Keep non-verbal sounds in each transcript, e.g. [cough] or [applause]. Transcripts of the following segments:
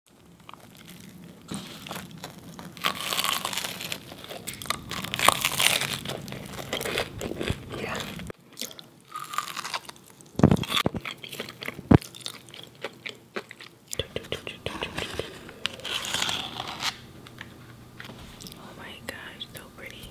Oh my gosh, so pretty.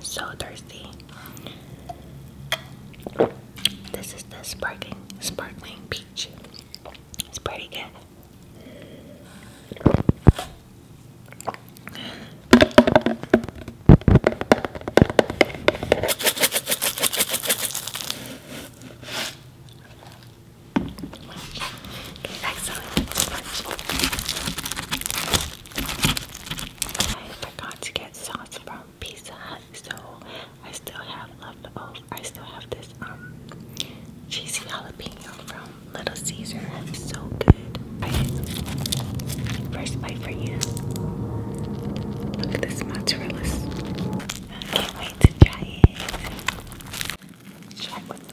So thirsty. This is the sparkling sparkling peach. It's pretty good. Okay, excellent. I forgot to get sauce from Pizza Hut, so I still have left I still have this um cheesy jalapeno from Little Caesar. It's so good. First bite for you. Look at this mozzarella. I can't wait to try it. Try it with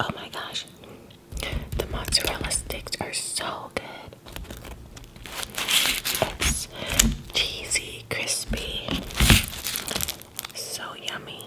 Oh my gosh, the mozzarella sticks are so good. cheesy, crispy, so yummy.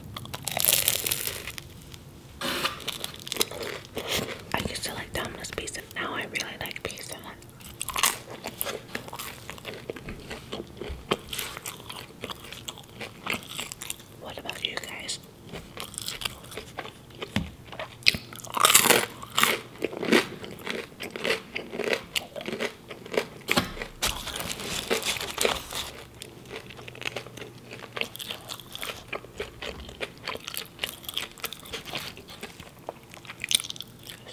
I used to like Domino's pizza. Now I really like pizza. What about you guys?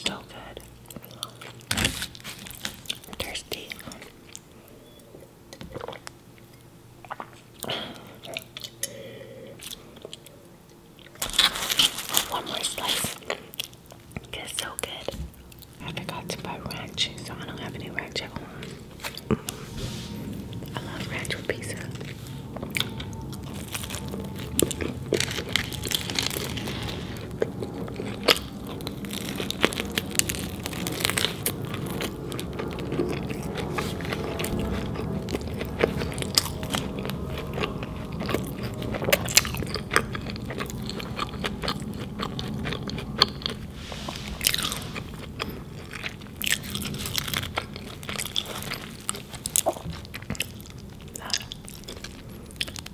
So good. Thirsty. One more slice. It's so good. I forgot to buy ranch, so I don't have any ranch at home. I love ranch with pizza.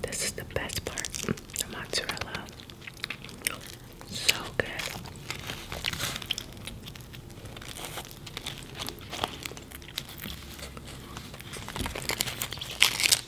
This is the best part the mozzarella. So good.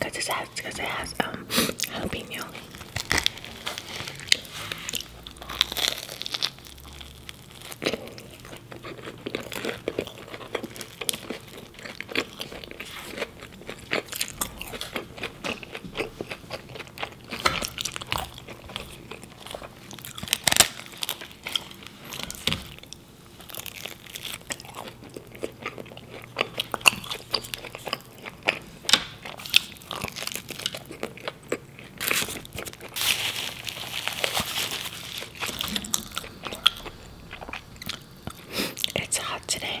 Cause it has, cause it has um helping you. It's hot today.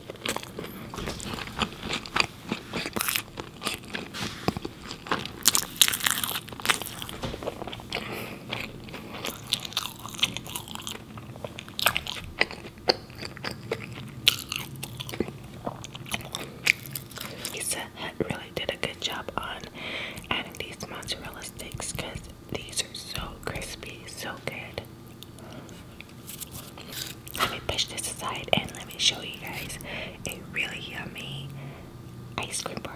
Pizza really did a good job on adding these mozzarella sticks because these are so crispy, so good. Let me push this aside and let me show you guys a really yummy ice cream bar.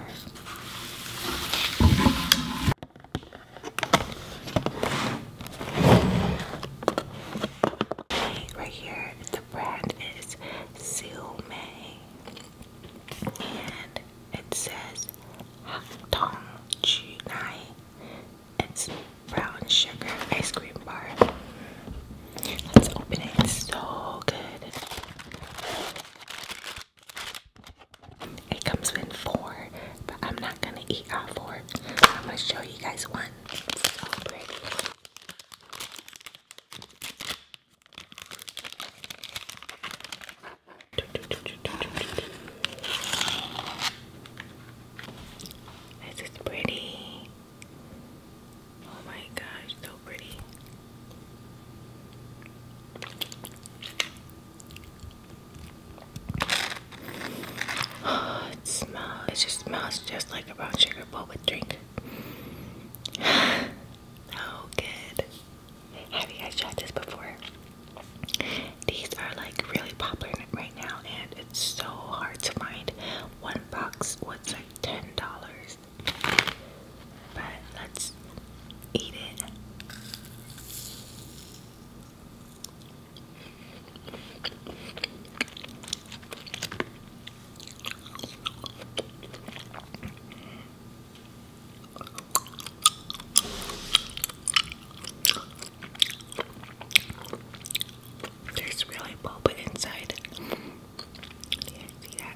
Right here, the brand is Seal and it says Hak Tong It's brown sugar ice cream bar. Let's open it. It's so good. It comes in four, but I'm not gonna eat all four. I'm gonna show you guys one. It's so pretty. This is pretty. Oh my gosh, so pretty. Oh, [sighs] it smells, it just smells just like a brown sugar bowl with drink. [sighs] oh, good. Have you guys tried this before? These are like really popular right now, and it's so hard to find. One box What's like ten dollars. But let's eat it. There's really pulp inside. Yeah, see that?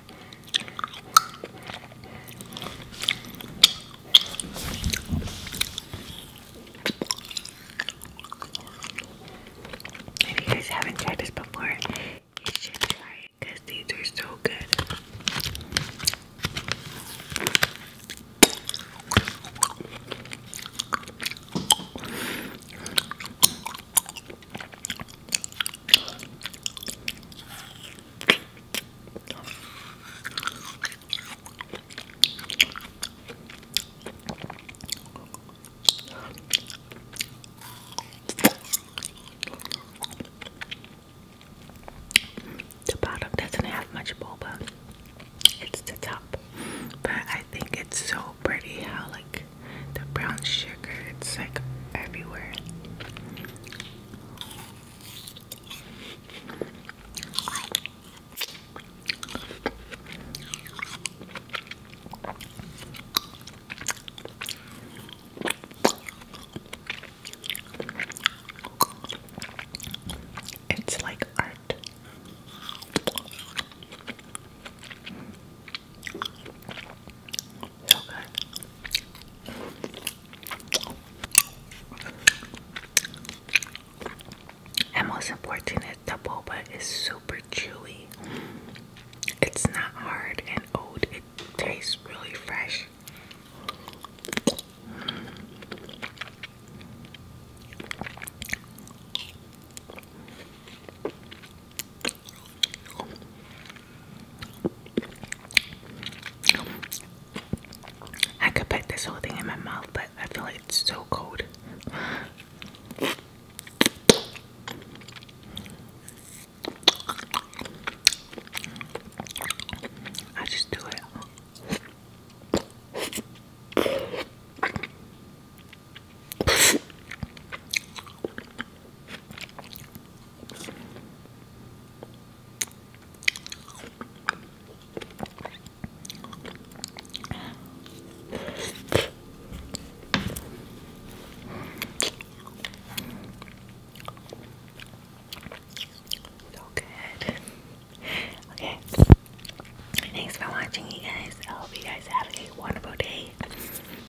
If you guys haven't tried this before, you should try it because these are so good. The bottom doesn't have much boba. It's the top. But I think it's so pretty how like the brown sugar it's like everywhere. It's like art. And most important is the boba is super chewy. It's not hard and old. It tastes really fresh. I could put this whole thing in my mouth, but I feel like it's so cold. I just do it. So good. Okay. Thanks for watching, you guys. I hope you guys have a wonderful day.